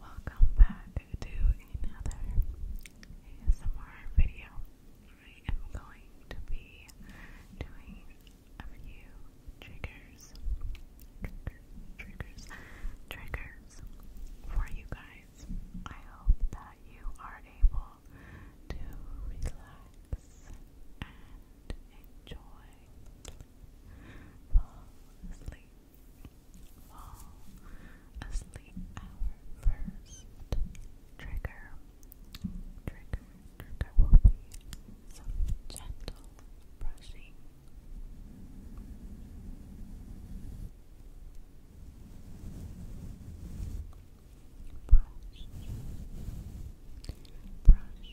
Welcome back to another ASMR video. I am going to be doing a few triggers, triggers, triggers, triggers for you guys. I hope that you are able to relax and enjoy fall asleep fall asleep first. Trigger, trigger, trigger will be some gentle brushing. brush, brush,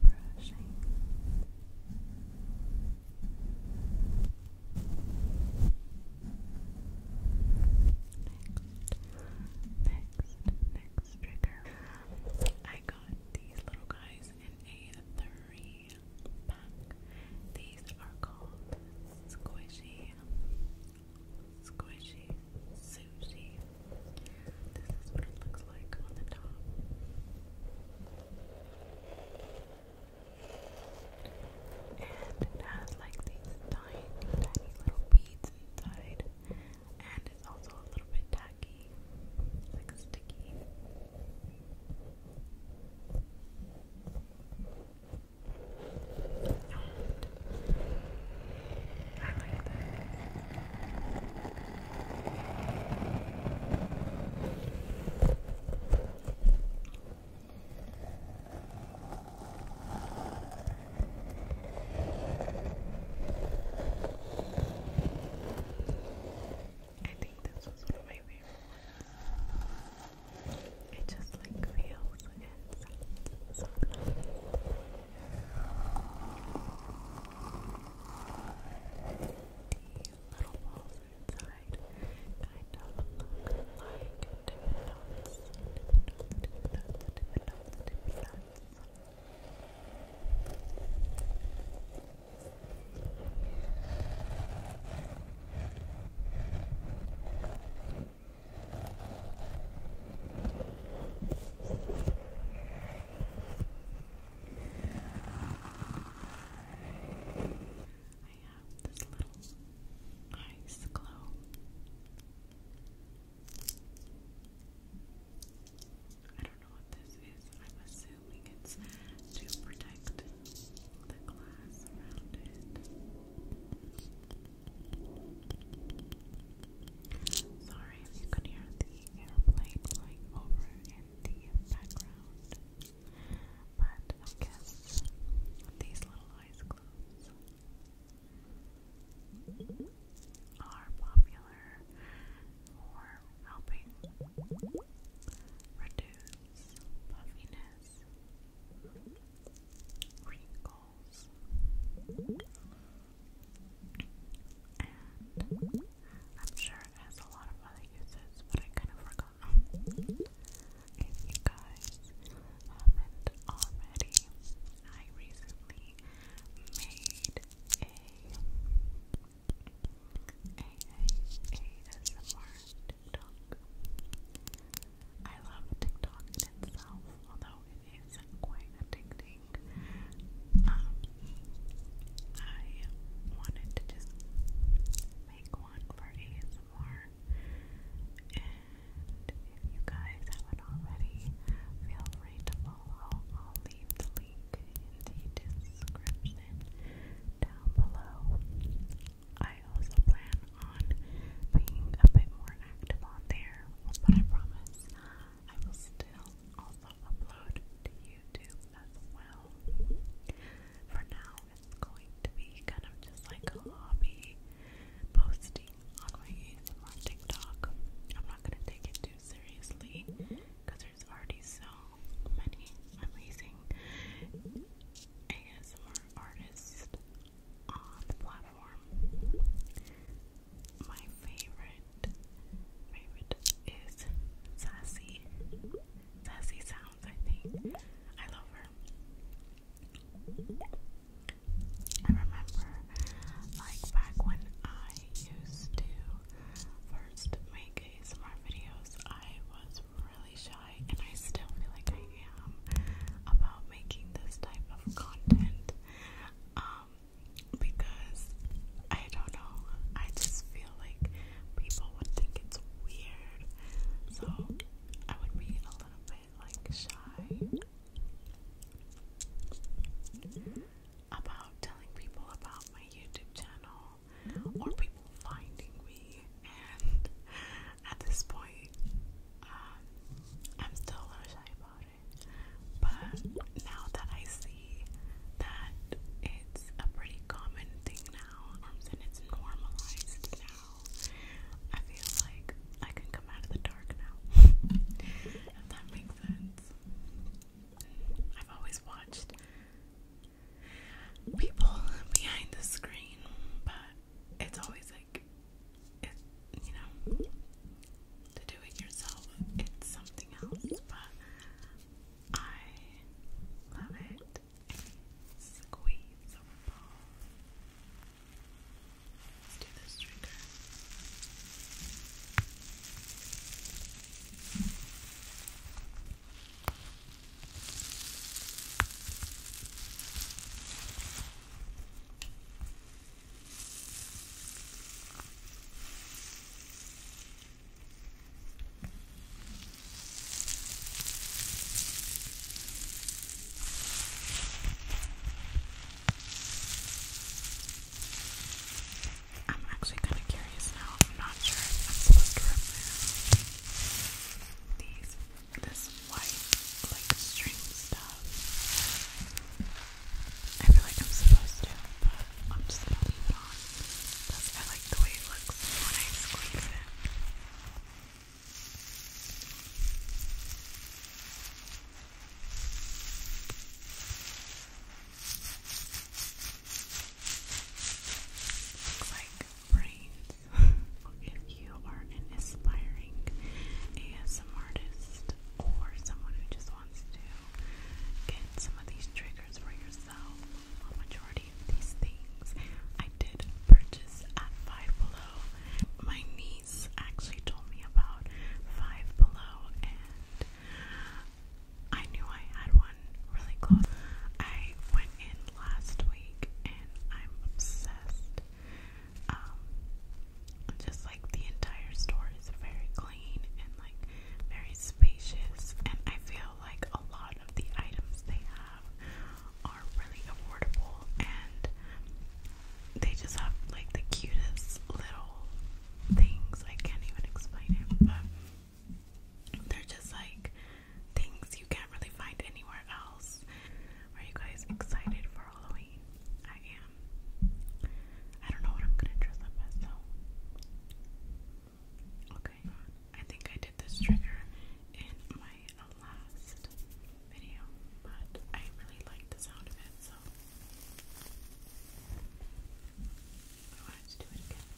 brushing. Next, next, next trigger. I got these little guys in a three pack. These are called squishy, squishy sushi. This is what it looks like on the top. And it has like these tiny, tiny little beads inside. And it's also a little bit tacky, like sticky. I think this was one of my favorite ones. It just like feels and sounds so nice little balls inside kind of like Thank you I have this little ice globe. I don't know what this is. I'm assuming it's to protect the glass around it. Sorry if you could hear the airplane flying over in the background. But I guess these little eyes closed are popular for helping reduce puffiness, wrinkles, and I'm sure it has a lot of other uses, but I kind of forgot. If you guys haven't already, I recently made a a a ASMR TikTok. I love TikTok in itself, although is quite addicting. Um, I wanted to just make one for ASMR, and if you guys haven't already, feel free to follow. I'll leave the link in the description down below. I also plan on being a bit more active on there, but I promise I will still also upload to YouTube as well. For now, it's going to be kind of just like a hobby posting on my ASMR TikTok. I'm not going to take it too seriously because there's already so many amazing ASMR artists on the platform my favorite favorite is Sassy. Sassy sounds, I think. I love her. I remember like back when I used to first make ASMR videos, I was really shy and I still feel like I am about making this type of content um, because I don't know, I just feel like people would think it's weird, so I would be a little bit like shy about telling people about my YouTube channel or people finding me. And at this point, um, I'm still a little shy but now that I see that it's a pretty common thing now, um, and it's normalized now, I feel like I can come out of the dark now. if that makes sense. I've always watched people behind the screen, but it's always like it, you know, to do it yourself, it's something else, but I love it. Squeeze a ball. do this trigger. I'm actually kind of curious now. I'm not sure if I'm supposed to remove these this white, like, string stuff. I feel like I'm supposed to, but I'm just going on. I like the way it looks when I squeeze it. Looks like brain if you are an aspiring ASM artist or someone who just wants to get some of these triggers for yourself, a majority of these things I did purchase at Five Below. My niece actually told me about Five Below and I knew I had one really close. I went in last week I'm obsessed. Um, just like the entire store is very clean and like very spacious, and I feel like a lot of the items they have are really affordable, and they just have like the cutest little things. I can't even explain it, but they're just like things you can't really find anywhere else. Are you guys excited for Halloween? I am. I don't know what I'm gonna dress up as though. Okay, I think I did this trigger in my last video, but I really like the sound of it, so I wanted to do it again.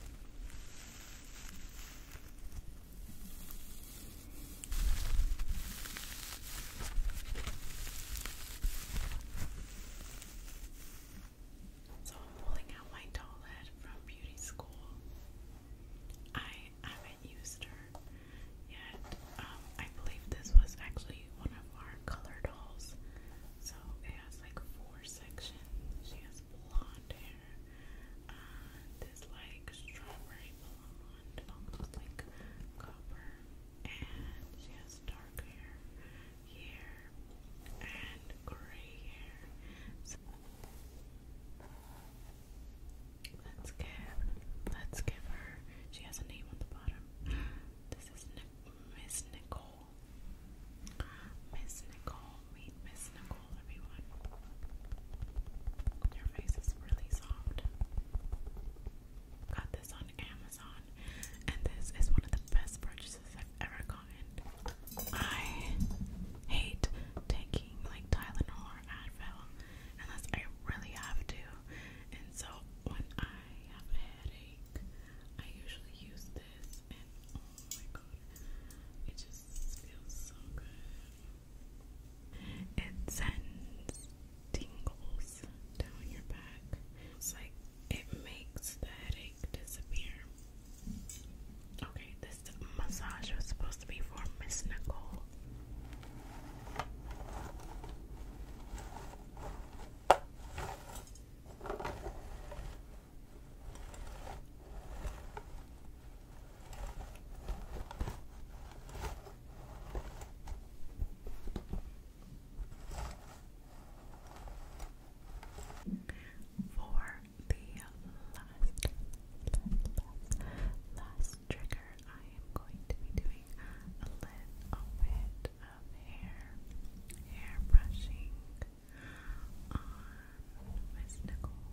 So I'm pulling out my doll head from beauty school. I haven't used her yet. Um, I believe this was actually one of our color dolls. So it has like four sections blonde hair, uh, this like strawberry blonde, almost like copper, and she has dark hair here and gray hair. So let's give, let's give her. She has a name on the bottom. This is Miss Nicole. Miss Nicole. Nicole. Miss Nicole, everyone. Her face is really soft. Got this on Amazon, and this is one of the best purchases I've ever gotten. I hate taking like Tylenol or Advil unless I really have to, and so when I have a headache, I usually use this oh my god, it just feels so good. It sends tingles down your back. It's like it makes the headache disappear. Okay, this massage was supposed to be for Miss Nicole. For the last, last, last trigger, I am going to be doing a little bit of hair, hair brushing on Miss Nicole.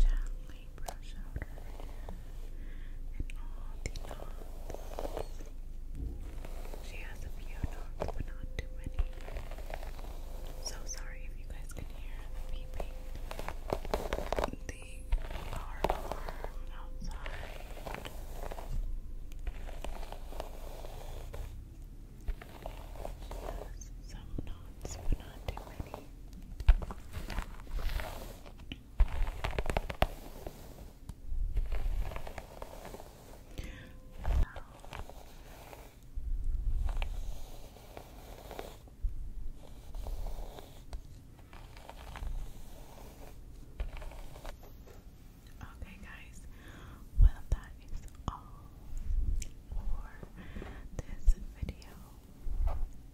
Gently brush out and all the knots. She has a few knots, but not too many. So sorry if you guys can hear the beeping. The car alarm outside. She has some knots, but not too many. Okay, guys, well, that is all for this video.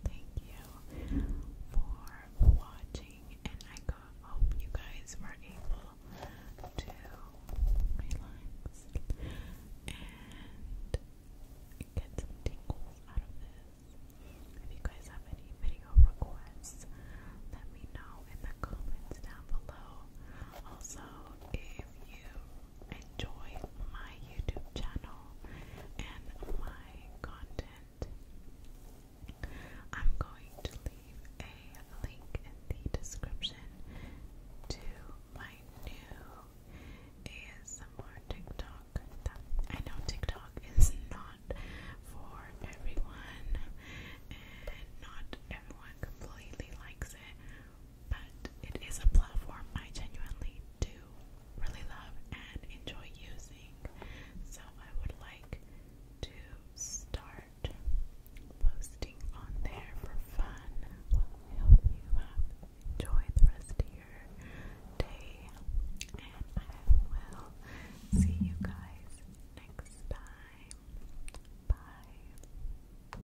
Thank you for watching, and I hope you guys were able to relax and get some tingles out of this. If you guys have any video requests, let me know in the comments down below. Also, if you enjoy my YouTube channel and my content, I'm going to leave a link in the description to my new ASMR TikTok. I know TikTok is not for everyone, and not everyone completely likes it, but it is a platform I genuinely do really love and enjoy using. So I would like to start posting on there for fun. Well, I hope you have enjoyed the rest of your day, and I will see you guys next time. Bye.